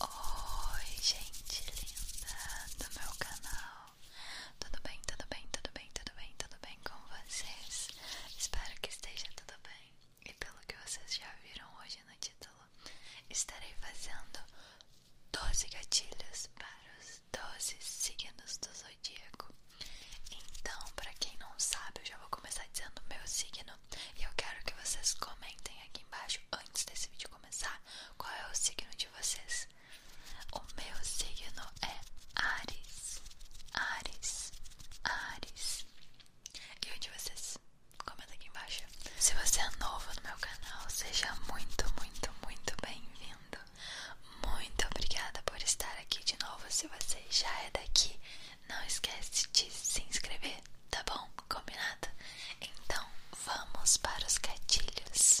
Oi, gente linda do meu canal. Tudo bem, tudo bem, tudo bem, tudo bem, tudo bem com vocês? Espero que esteja tudo bem. E pelo que vocês já viram hoje no título, estarei fazendo 12 gatilhos para os 12 signos do zodíaco. Então, para quem não sabe, eu já vou começar dizendo meu signo e eu quero que vocês comentem aqui embaixo, antes desse vídeo começar, qual é o signo de vocês. O meu signo é Ares, Ares, Ares. E o de vocês? Comenta aqui embaixo. Se você é novo no meu canal, seja muito, muito, muito bem-vindo. Muito obrigada por estar aqui de novo. Se você já é daqui, não esquece de se inscrever, tá bom? Combinado? Então vamos para os gatilhos.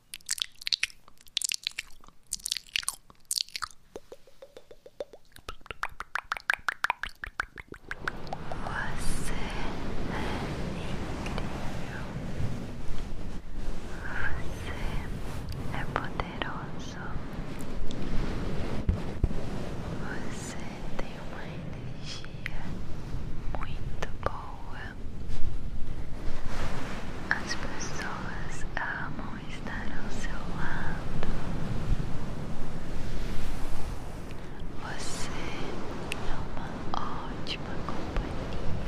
Você é incrível. Você é poderoso. Você tem uma energia muito boa. As pessoas amam estar ao seu lado. Você é uma ótima companhia.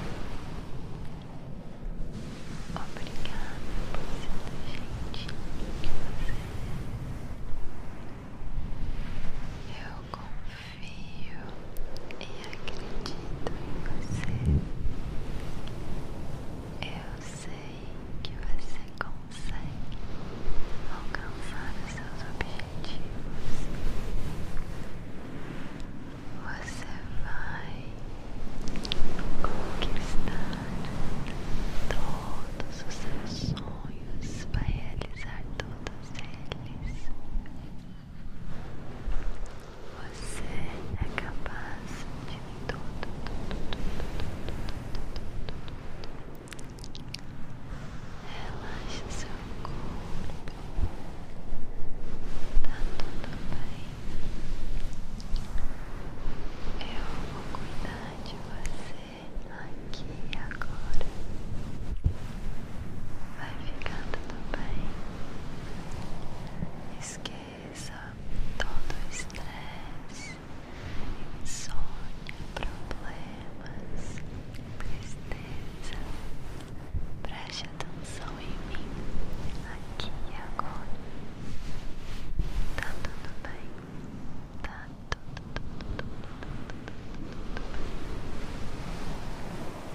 Obrigada por ser tão gentil que você é. Eu confio confio e acredito em você. Eu sei que você consegue alcançar os seus objetivos. Você vai conquistar todos os seus sonhos, para realizar todos eles. Você é capaz de tudo. Relaxa seu corpo. Tá tudo bem. Eu vou cuidar de você aqui agora vai ficar tudo bem. Esqueça todo o estresse, insônia, problemas, tristeza. Preste atenção em mim, aqui e agora. Tá tudo bem, tá tudo, tudo, tudo bem.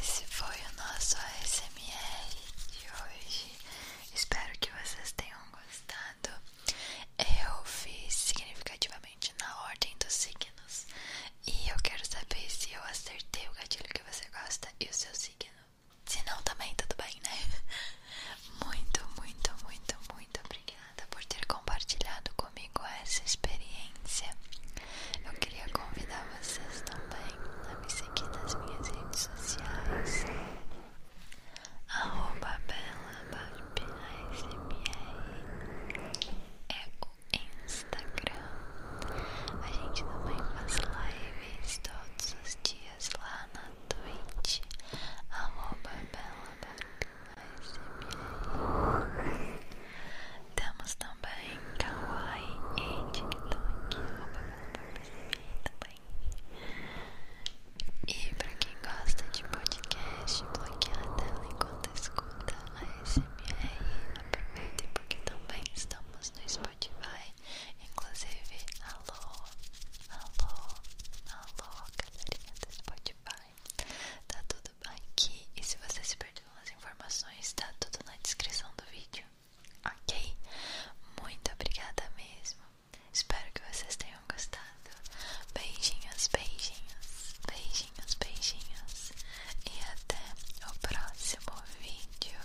Esse foi o nosso ASMR de hoje. Espero que vocês tenham gostado. Eu fiz significativamente na ordem dos signos. E eu quero saber se eu acertei o gatilho que você gosta e o seu signo. Se não, também tudo bem, né? Muito, muito, muito, muito obrigada por ter compartilhado comigo essa experiência. Eu queria convidar vocês também a me seguir nas minhas redes sociais. Arroba Bela Barb ASMR é o Instagram. A gente também faz lives todos os dias lá na Twitch. Arroba Bela Barb ASMR. Temos também Kawaii e TikTok. também. E para quem gosta de podcast, bloquear a tela enquanto escuta a SMR, aproveitem porque também estamos no Spotify. Inclusive, alô, alô, alô, galerinha do Spotify. Tá tudo aqui. E se você se perdeu, as informações, está tudo na descrição do vídeo, ok? Muito obrigada mesmo, espero que vocês tenham gostado. Beijinhos, beijinhos, beijinhos, beijinhos, e até o próximo vídeo.